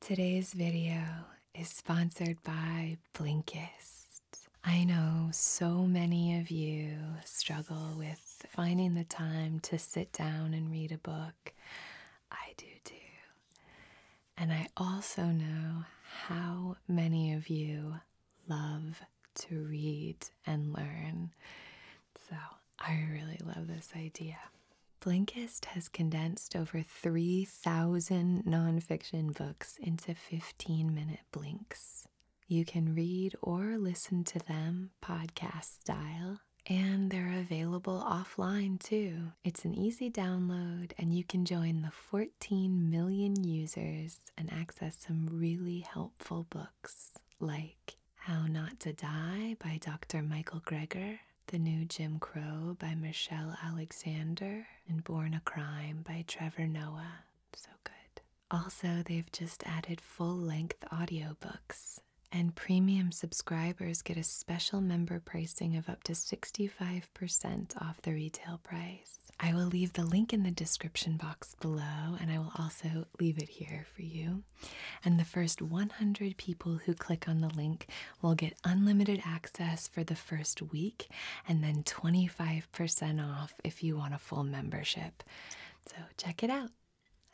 Today's video is sponsored by Blinkist. I know so many of you struggle with finding the time to sit down and read a book. I do too. And I also know how many of you love to read and learn. So I really love this idea. Blinkist has condensed over 3,000 nonfiction books into 15 minute blinks. You can read or listen to them podcast style, and they're available offline too. It's an easy download, and you can join the 14 million users and access some really helpful books like How Not to Die by Dr. Michael Greger, the New Jim Crow by Michelle Alexander and Born a Crime by Trevor Noah. So good. Also, they've just added full length audiobooks, and premium subscribers get a special member pricing of up to 65% off the retail price. I will leave the link in the description box below, and I will also leave it here for you and the first 100 people who click on the link will get unlimited access for the first week and then 25% off if you want a full membership. So check it out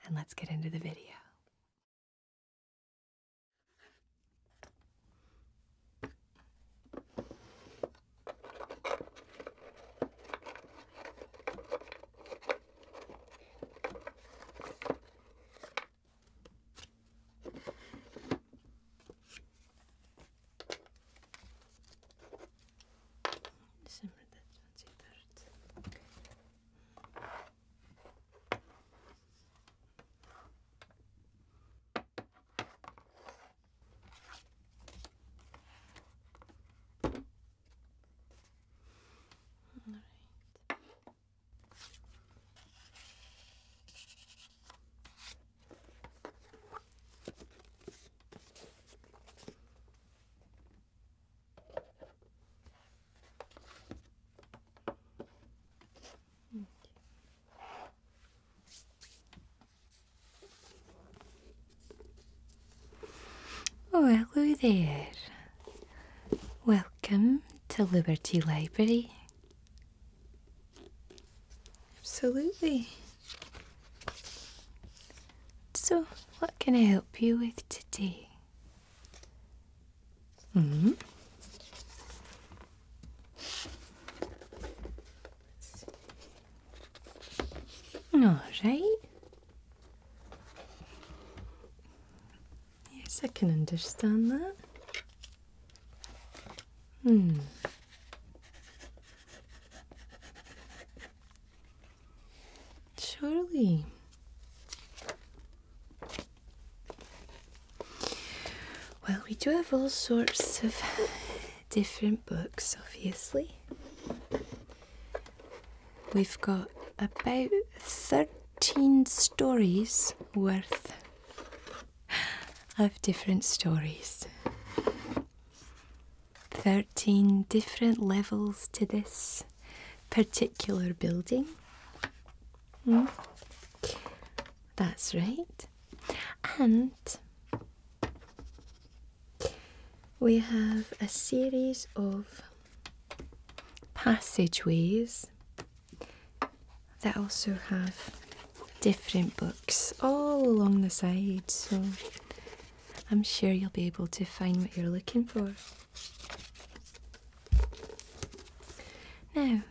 and let's get into the video. December the 23rd. All right. Oh, hello there. Welcome to Liberty Library. Absolutely. So, what can I help you with today? hmm. All right. Yes, I can understand that. Hmm. Surely. Well, we do have all sorts of different books, obviously. We've got about thirty. 13 stories worth of different stories. 13 different levels to this particular building. Hmm? That's right. And we have a series of passageways they also have different books all along the side, so I'm sure you'll be able to find what you're looking for. Now,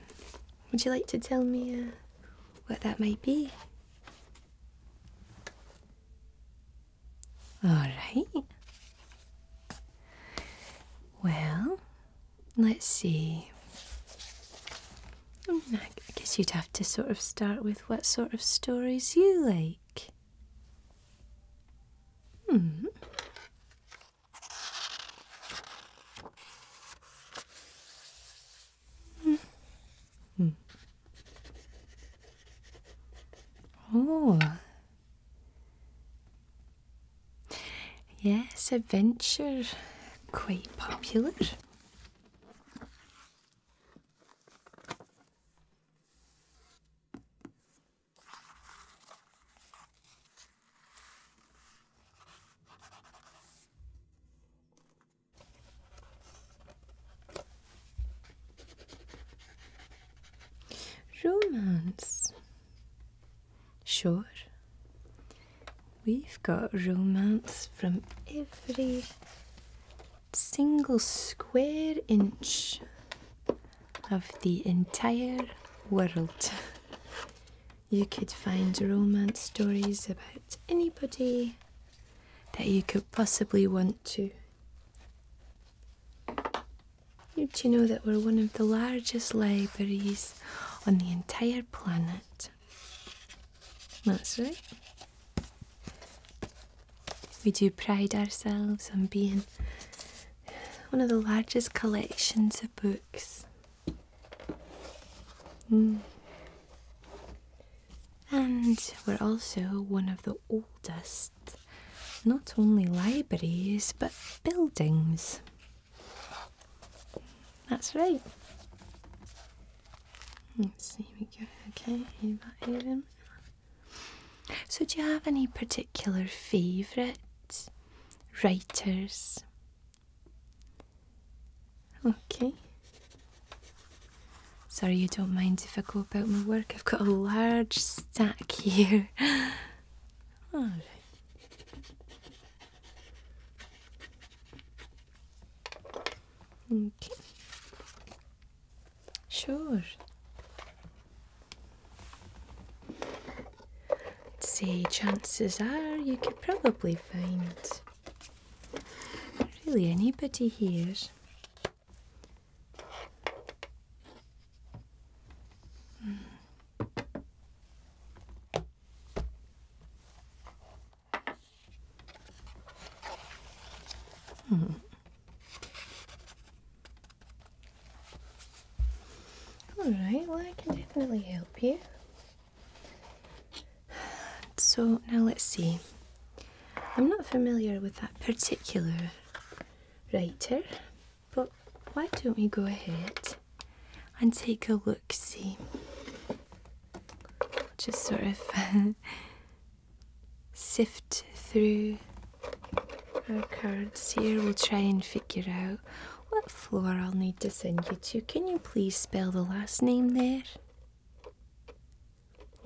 would you like to tell me uh, what that might be? All right. Well, let's see. Hmm, I guess you'd have to sort of start with what sort of stories you like. Hmm. Hmm. hmm. Oh, Yes, adventure, quite popular. Romance. Sure. We've got romance from every single square inch of the entire world. You could find romance stories about anybody that you could possibly want to. Did you know that we're one of the largest libraries on the entire planet? That's right. We do pride ourselves on being one of the largest collections of books. Mm. And we're also one of the oldest not only libraries but buildings. That's right. So, do you have any particular favourite writers? Okay. Sorry, you don't mind if I go about my work. I've got a large stack here. All right. Okay. Sure. I'd say chances are you could probably find really anybody here. Mm. Hmm. Alright, well, I can definitely help you. So, now let's see. I'm not familiar with that particular writer, but why don't we go ahead and take a look see? Just sort of sift through our cards here. We'll try and figure out what floor I'll need to send you to. Can you please spell the last name there?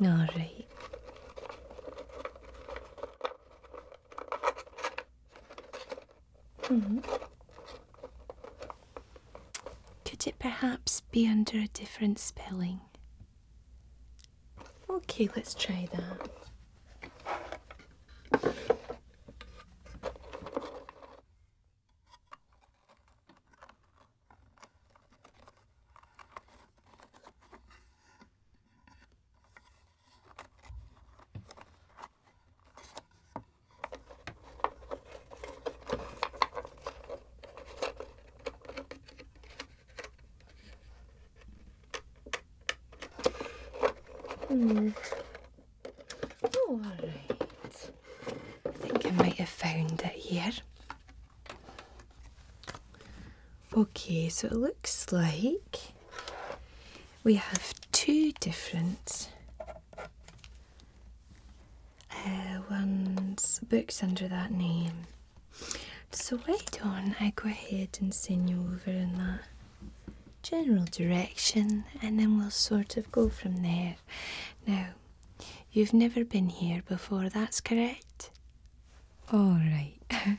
Alright. Mm-hmm. Could it perhaps be under a different spelling? Okay, let's try that. Hmm. All right. I think I might have found it here. Okay, so it looks like we have two different uh, ones, books under that name. So why on. I go ahead and send you over in that general direction and then we'll sort of go from there. Now, you've never been here before, that's correct? All right.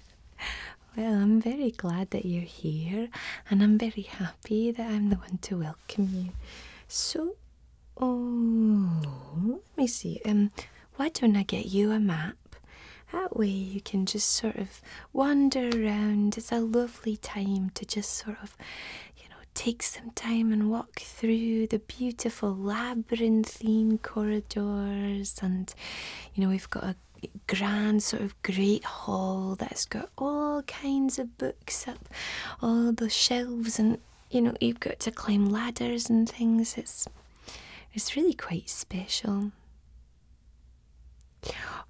Well, I'm very glad that you're here, and I'm very happy that I'm the one to welcome you. So, oh, let me see. Um, why don't I get you a map? That way you can just sort of wander around. It's a lovely time to just sort of, you know, take some time and walk through the beautiful labyrinthine corridors. And, you know, we've got a grand sort of great hall that's got all kinds of books up all the shelves and you know you've got to climb ladders and things it's it's really quite special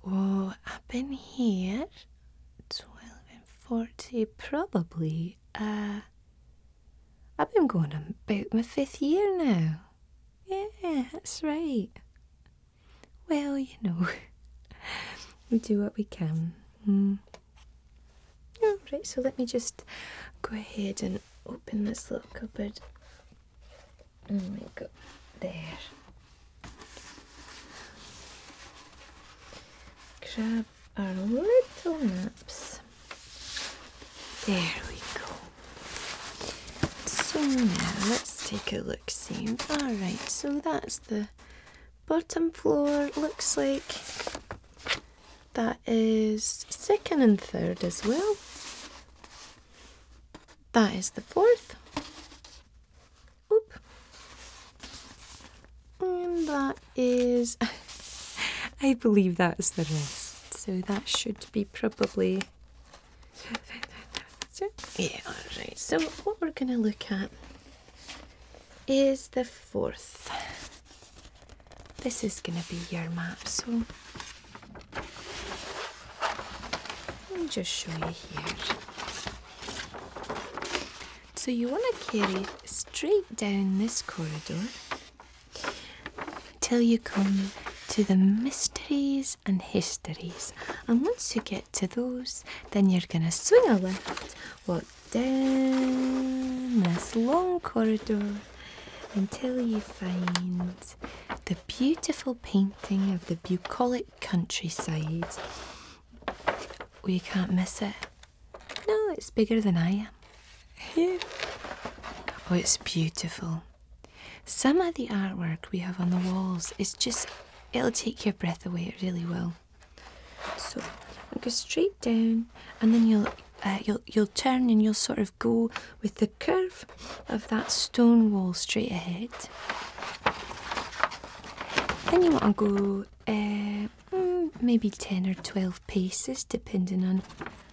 oh I've been here 12 and 40 probably uh, i've been going about my fifth year now yeah that's right well, you know, we do what we can. Hmm. Alright, so let me just go ahead and open this little cupboard. And we go there. Grab our little maps. There we go. So now let's take a look see. Alright, so that's the bottom floor. Looks like that is second and third as well. That is the fourth. Oop. And that is I believe that is the rest. So that should be probably yeah, alright. So, what we're going to look at is the fourth. This is going to be your map, so let me just show you here. So, you want to carry straight down this corridor till you come to the mysteries and histories. And once you get to those, then you're going to swing a left, walk down this long corridor until you find the beautiful painting of the bucolic countryside. Oh, you can't miss it. No, it's bigger than I am. Oh, it's beautiful. Some of the artwork we have on the walls is just, it'll take your breath away, it really will. So go straight down and then you'll. Uh, you'll you'll turn and you'll sort of go with the curve of that stone wall straight ahead. Then you want to go uh, mm, maybe ten or twelve paces, depending on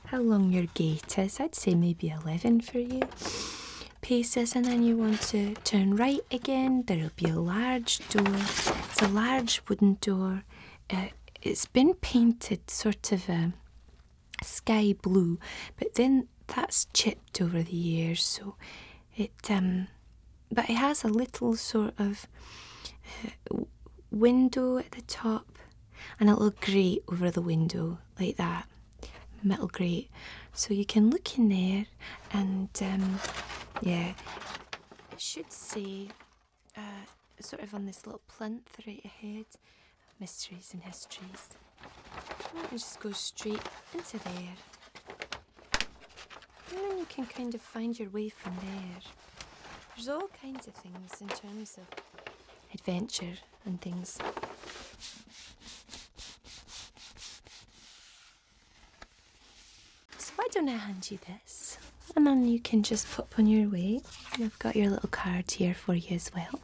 how long your gait is. I'd say maybe eleven for you pieces and then you want to turn right again there will be a large door it's a large wooden door uh, it's been painted sort of a um, sky blue but then that's chipped over the years so it um but it has a little sort of uh, window at the top and a little grate over the window like that metal grate. So you can look in there and um, yeah, it should say uh, sort of on this little plinth right ahead mysteries and histories. And just go straight into there. And then you can kind of find your way from there. There's all kinds of things in terms of adventure and things. So why don't I hand you this? And then you can just pop on your way. And I've got your little card here for you as well.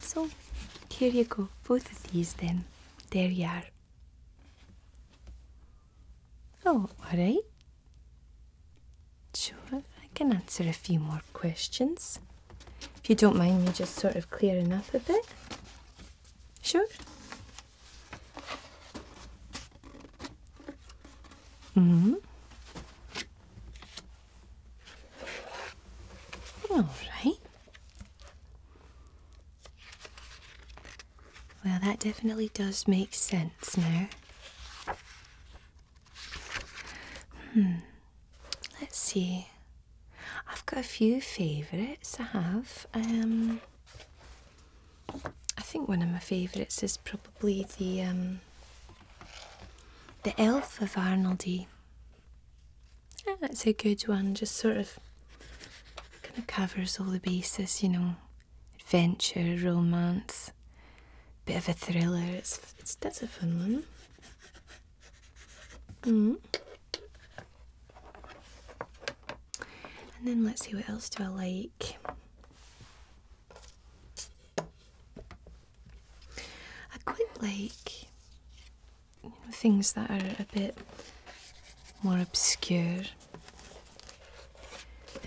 So here you go, both of these then. There you are. Oh, alright. Sure, I can answer a few more questions. If you don't mind me just sort of clearing up a bit. Sure. Mm-hmm. All right. Well, that definitely does make sense now. Hmm. Let's see. I've got a few favourites. I have. Um, I think one of my favourites is probably the um, the Elf of Arnoldy. that's a good one. Just sort of kind of covers all the bases, you know, adventure, romance, bit of a thriller. It's, it's that's a fun one. Mm. And then let's see what else do I like. I quite like things that are a bit more obscure.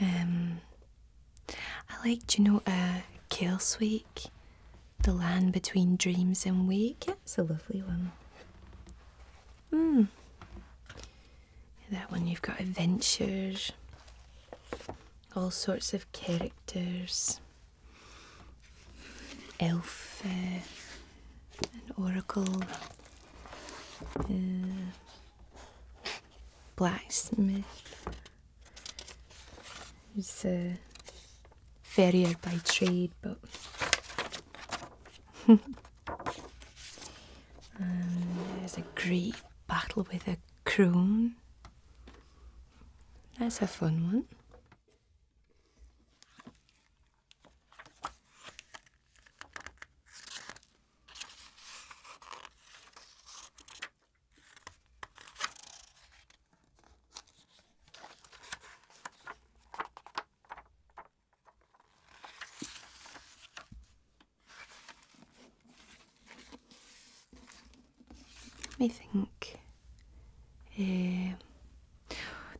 Um, I like, do you know, uh, Kale the land between dreams and wake. It's a lovely one. Hmm. That one you've got adventures, all sorts of characters, elf, uh, an oracle, uh, blacksmith. There's uh, farrier by trade, but um, there's a great battle with a croon. That's a fun one. Let me think. Um,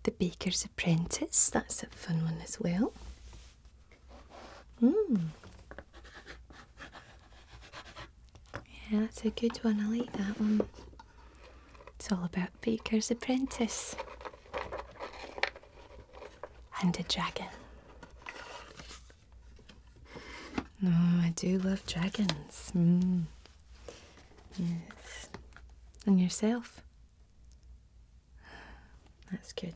the Baker's Apprentice, that's a fun one as well. Mm. Yeah, that's a good one. I like that one. It's all about Baker's Apprentice and a dragon. oh, I do love dragons. Mm. Yes. And yourself? That's good.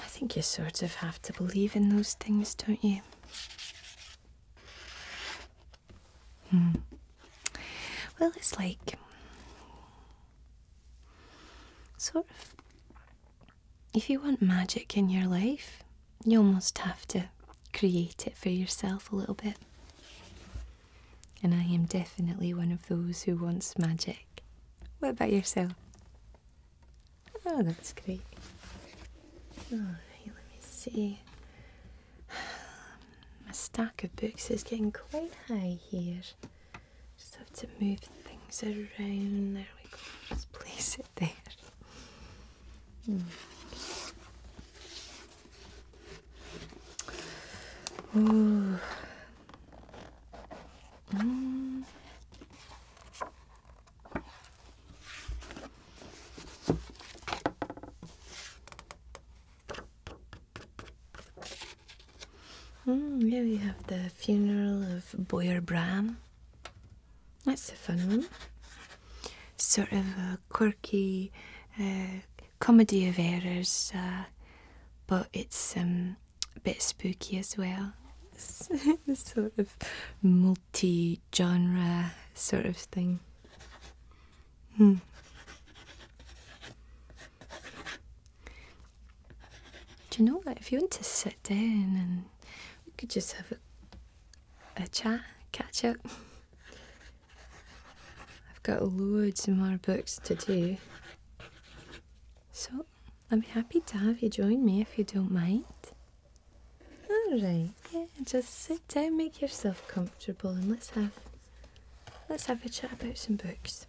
I think you sort of have to believe in those things, don't you? Hmm. Well, it's like Sort of. If you want magic in your life, you almost have to create it for yourself a little bit. And I am definitely one of those who wants magic. What about yourself? Oh, that's great. Alright, oh, let me see. My stack of books is getting quite high here. Just have to move things around. There we go. Just place it there. Mm. Mm. Mm, yeah, we have the funeral of Boyer Bram. That's a fun one. Sort of a quirky uh, comedy of errors, uh, but it's um, a bit spooky as well. It's sort of multi genre sort of thing. Hmm. Do you know what? If you want to sit down and we could just have a, a chat, catch up. I've got loads more books to do. So I'm happy to have you join me if you don't mind. Alright, yeah, just sit down, make yourself comfortable and let's have let's have a chat about some books.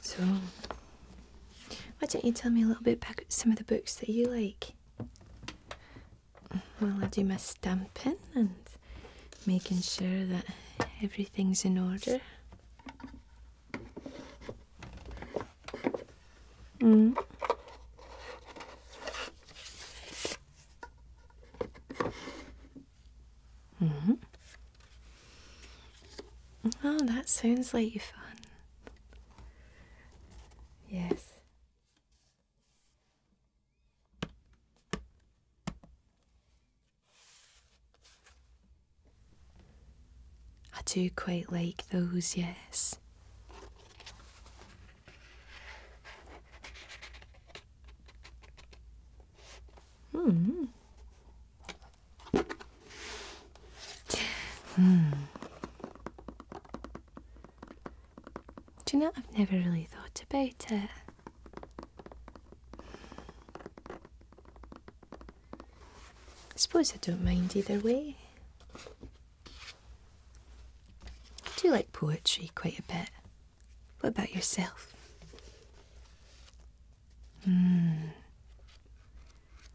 So, why don't you tell me a little bit about some of the books that you like? Well, I do my stamping and making sure that everything's in order. Mm. Mm -hmm. Oh, that sounds like fun. Yes. I do quite like those, yes. Hmm. Hmm. Do you know, I've never really thought about it. I suppose I don't mind either way. I do like poetry quite a bit. What about yourself? Hmm.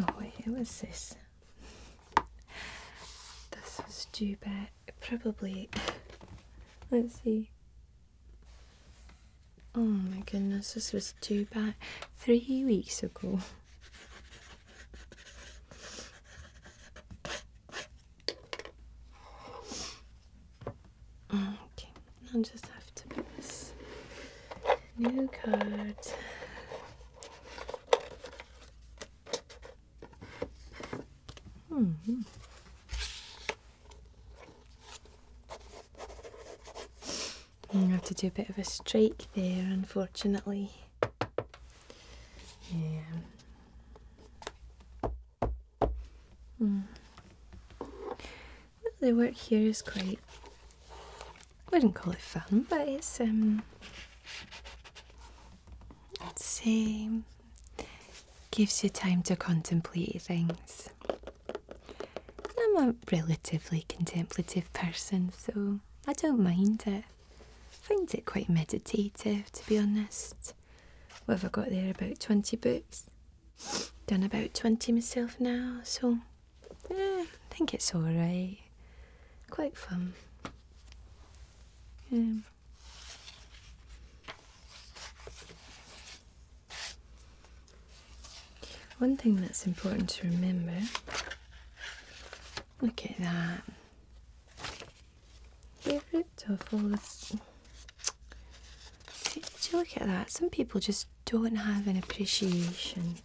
Oh, wait, it was this. This was too bad. probably. Let's see. Oh my goodness, this was too bad. three weeks ago. Okay, I'll just have to put this new card. Mm -hmm. I have to do a bit of a strike there, unfortunately. Yeah. Mm. The work here is quite. I wouldn't call it fun, but it's um. Let's see. gives you time to contemplate things. I'm a relatively contemplative person, so I don't mind it. I find it quite meditative, to be honest what have I got there? About 20 books. Done about 20 myself now, so I think it's alright. Quite fun. One thing that's important to remember look at that. You're beautiful. See, did you look at that? Some people just don't have an appreciation.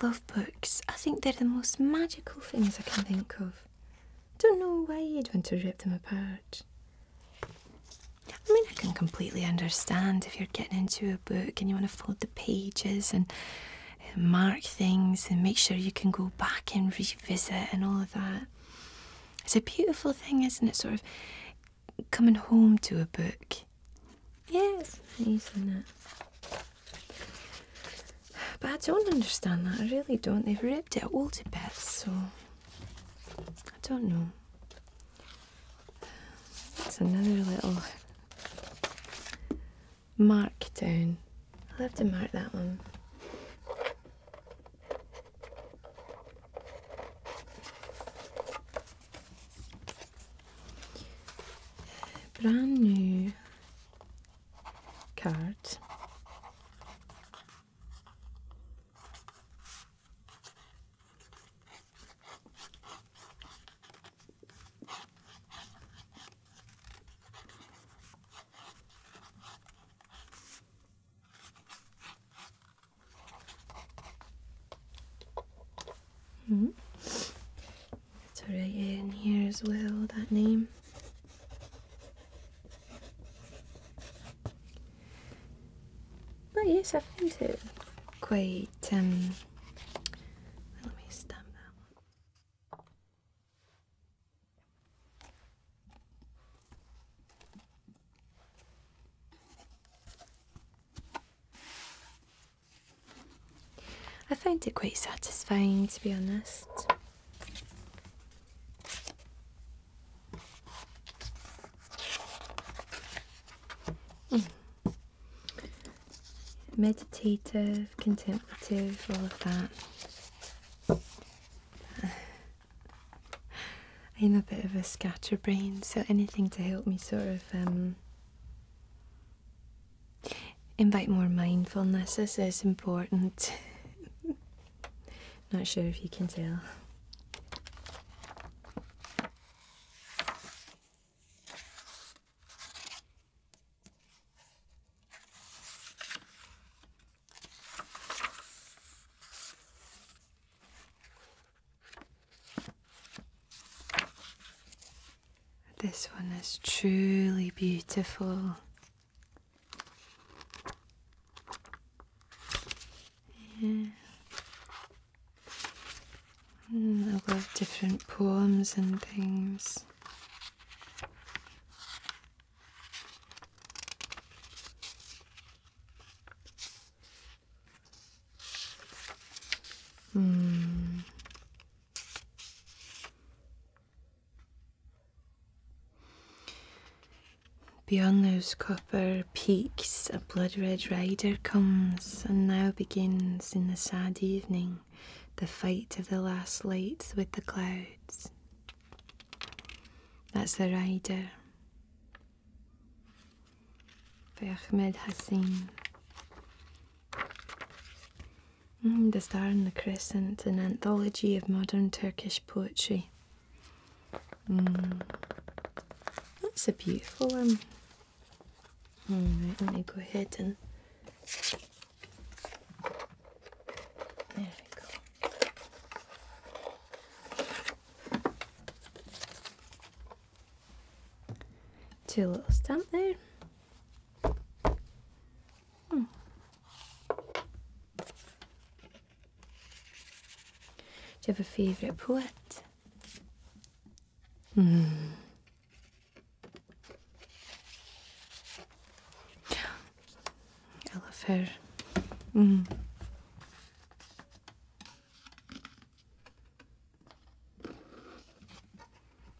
Love books. I think they're the most magical things I can think of. Don't know why you'd want to rip them apart. I mean, I can completely understand if you're getting into a book and you want to fold the pages and mark things and make sure you can go back and revisit and all of that. It's a beautiful thing, isn't it? Sort of coming home to a book. Yes, it's nice, isn't it? But I don't understand that. I really don't. They've ripped it all to bits, so I don't know. It's another little mark down. I'll have to mark that one. Brand new card. Mm -hmm. It's already in here as well, that name. But yes, I have find it quite um let me stamp that one. I find it quite satisfying to be honest. Hmm meditative, contemplative, all of that. I'm a bit of a scatterbrain, so anything to help me sort of um, invite more mindfulness. This is important. Not sure if you can tell. This one is truly beautiful. Yeah. Mm, I love different poems and things. Hmm. Beyond those copper peaks, a blood red rider comes and now begins in the sad evening the fight of the last lights with the clouds. That's the rider by Ahmed mm, the Star and the Crescent, an anthology of modern Turkish poetry. Mm. That's a beautiful one. let me go ahead and there we Two little stamp there. Hmm. Do you have a favourite poet? Hmm. I love her. Hmm.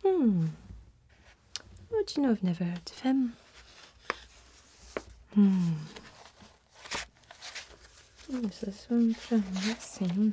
Hmm. I do not know I've never heard of him? Hmm. Where's this one from?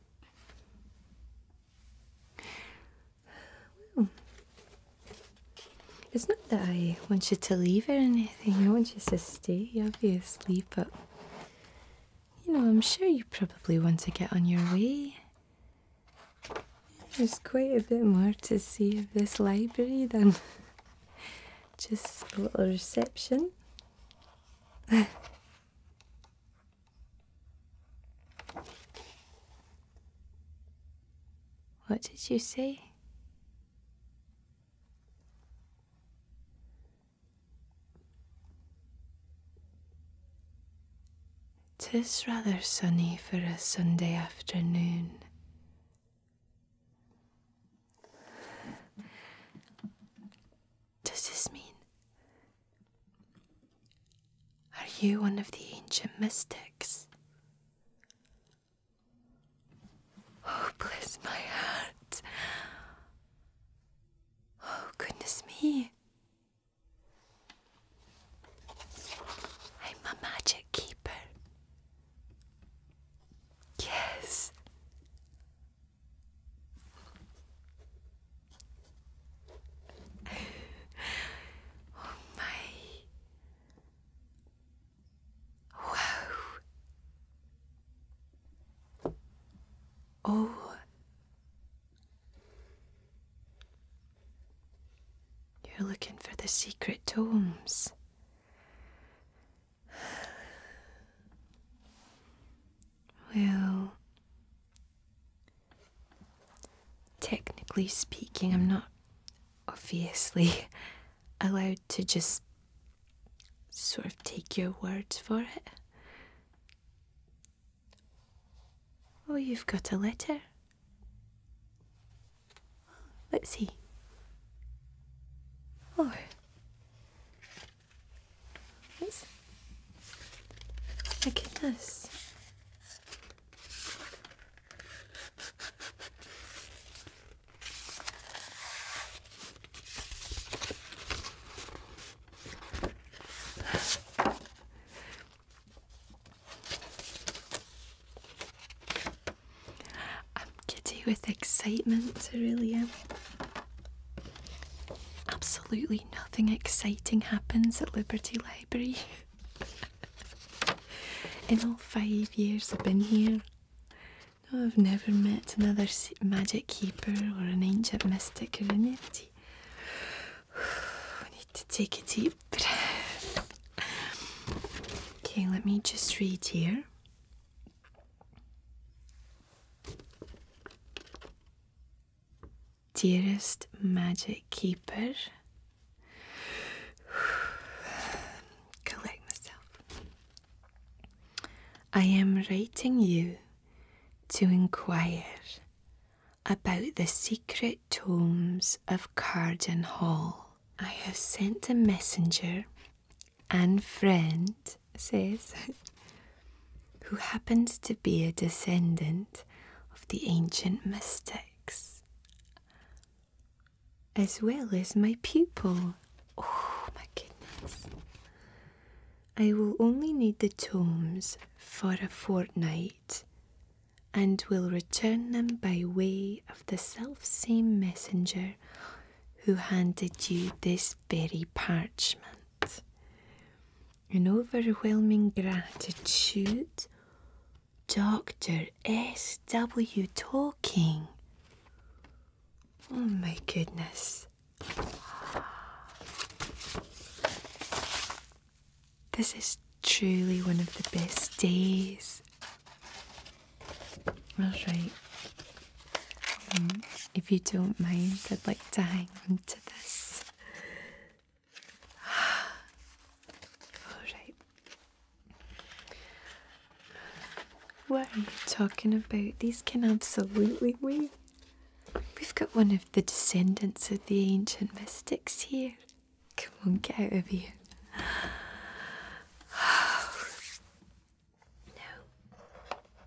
it's not that I want you to leave or anything, I want you to stay, obviously, but you know, I'm sure you probably want to get on your way. There's quite a bit more to see in this library than just a little reception. What did you say? Tis rather sunny for a Sunday afternoon does this mean? Are you one of the ancient mystics? Oh, bless my heart. Oh, goodness me. I'm a magic keeper. Yes, oh my. Wow. Oh. You're looking for the secret tomes. Well, technically speaking, I'm not obviously allowed to just sort of take your words for it. Oh, you've got a letter. Let's see. Oh, Yes. My goodness. I'm giddy with excitement, I really am. Absolutely nothing exciting happens at Liberty Library. In all five years I've been here, I've never met another magic keeper or an ancient mystic or an entity. need to take a deep breath. Okay, let me just read here. Dearest magic keeper, collect myself. I am writing you to inquire about the secret tomes of Carden Hall. I have sent a messenger and friend says, who happens to be a descendant of the ancient mystics, as well as my pupil. Oh my goodness. I will only need the tomes for a fortnight and will return them by way of the self-same messenger who handed you this very parchment. An overwhelming gratitude. Dr. S.W. Talking. Oh my goodness. This is truly one of the best days. Alright, Mm. if you don't mind, I'd like to hang on to this. Alright. What are you talking about? These can absolutely wait. We've got one of the descendants of the ancient mystics here. Come on, get out of here. no.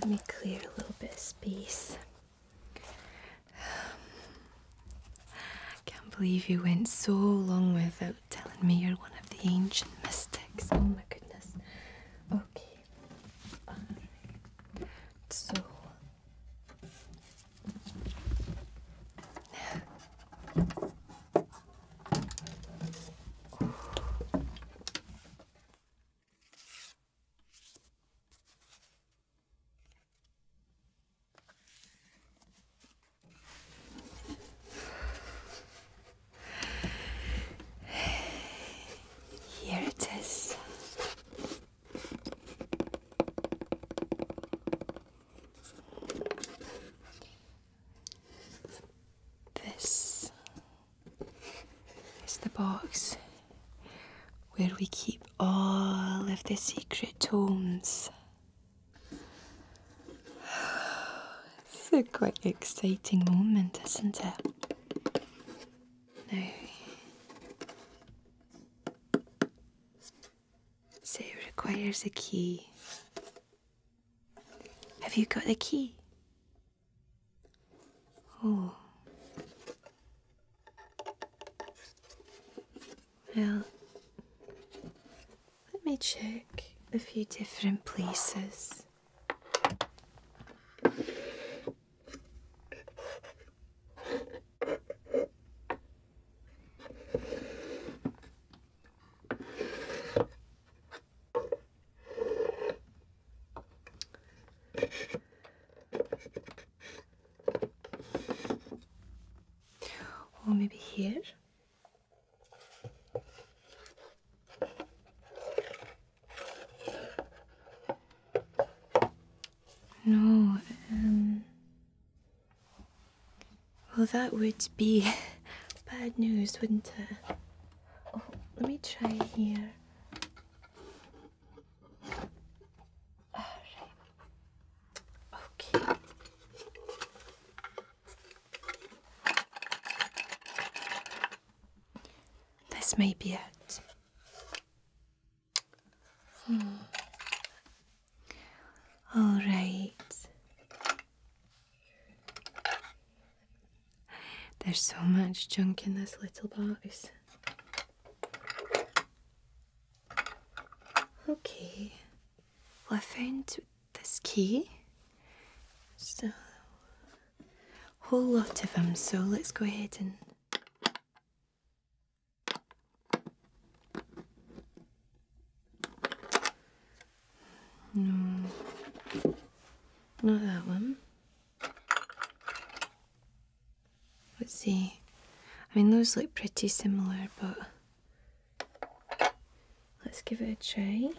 Let me clear a little bit space. I can't believe you went so long without telling me you're one of the ancient mystics. Oh my goodness. Okay. So. Here it is. This is the box where we keep all of the secret tomes. It's a quite exciting moment, isn't it? Now, so it requires a key. Have you got the key? Oh. Well, let me check a few different places. Or maybe here. No, um, well, that would be bad news, wouldn't it? Oh, let me try here. Alright. Okay. This may be it. Hmm. All right. There's so much junk in this little box. Okay, well, I found this key. So, whole lot of them, so let's go ahead and no, not that one. Let's see. I mean, those look pretty similar, but let's give it a try.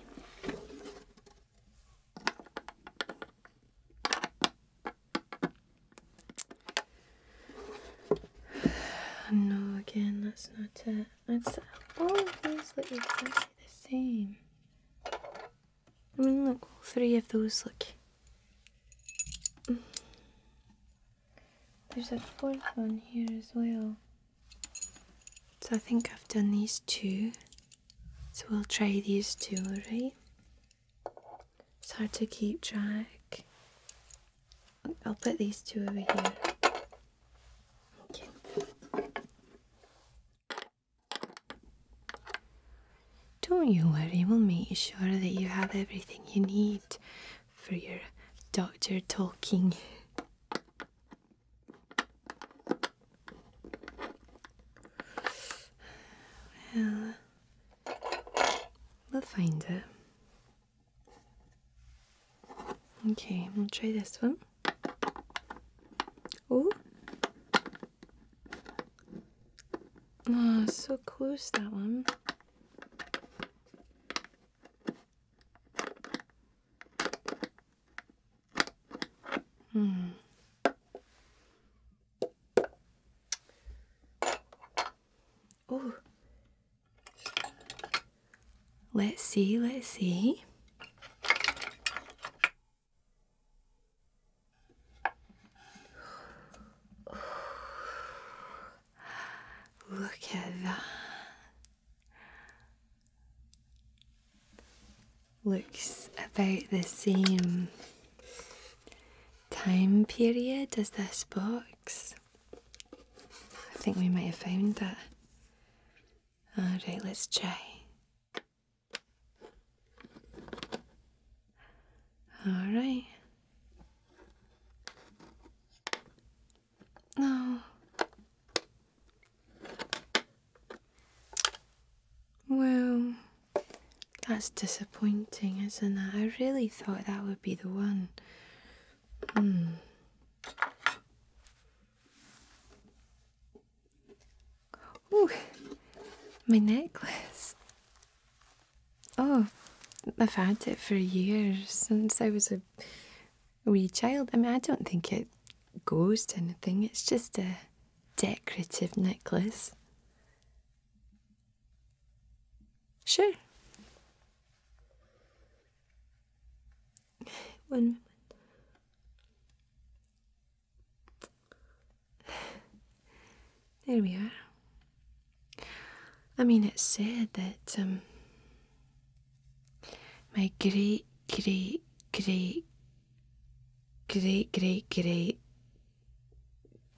No, again, that's not it. That's all of these look exactly the same. I mean, look, three of those look. There's a fourth one here as well. So I think I've done these two. So we'll try these two, right? It's hard to keep track. I'll put these two over here. Okay. Don't you worry, we'll make sure that you have everything you need for your doctor talking. Well, we'll find it. Okay, we'll try this one. Oh. Oh, so close that one. Hmm. Oh. Let's see, let's see. Look at that. Looks about the same time period as this box. I think we might have found that. Alright, let's try. All right. No. Well, that's disappointing, isn't it? I really thought that would be the one. Hmm. Ooh, my necklace. Oh, I've had it for years since I was a wee child. I mean, I don't think it goes to anything, it's just a decorative necklace. Sure. One moment. There we are. I mean, it's said that um, my great, great, great, great, great, great,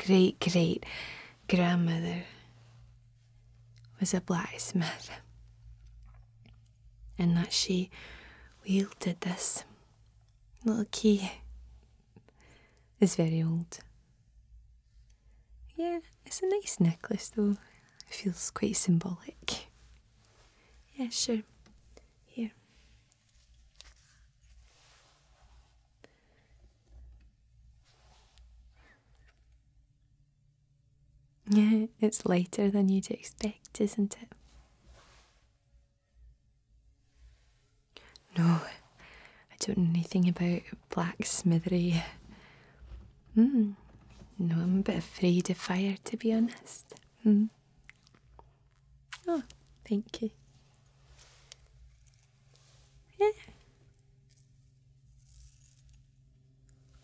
great, great grandmother was a blacksmith and that she wielded this little key is very old. Yeah, it's a nice necklace though. It feels quite symbolic. Yeah, sure. Here. Yeah, it's lighter than you'd expect, isn't it? No, I don't know anything about blacksmithery. Mm. No, I'm a bit afraid of fire, to be honest. Mm. Oh, thank you. Yeah.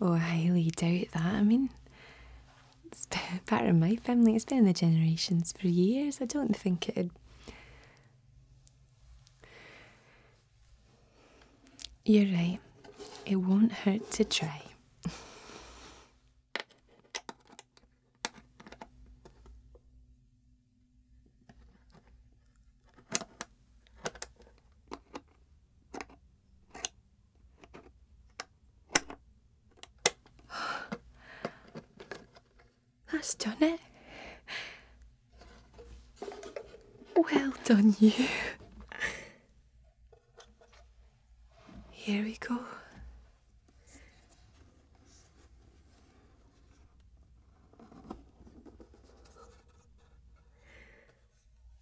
Oh, I highly doubt that. I mean, it part of my family. It's been in the generations for years. I don't think it'd. You're right. It won't hurt to try. That's Well done, you. Here we go.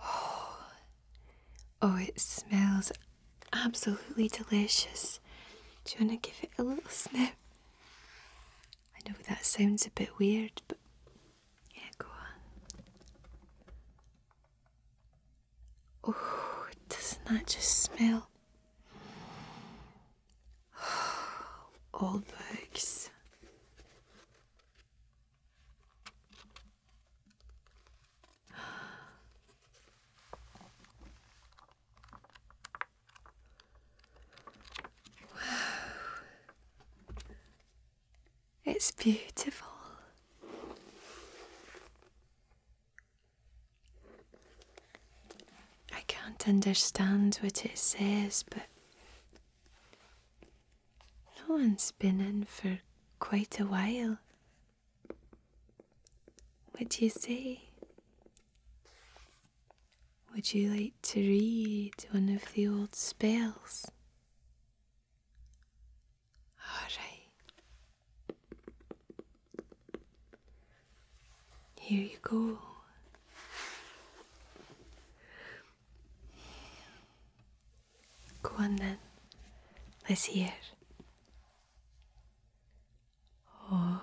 Oh, oh it smells absolutely delicious. Do you want to give it a little sniff? I know that sounds a bit weird, but yeah, go on. Oh, doesn't that just smell? Old books. It's beautiful. I can't understand what it says, but no one's been in for quite a while. What do you say? Would you like to read one of the old spells? Alright. Here you go. Go on then. Let's hear. Oh.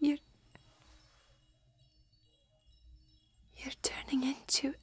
you're. You're turning into.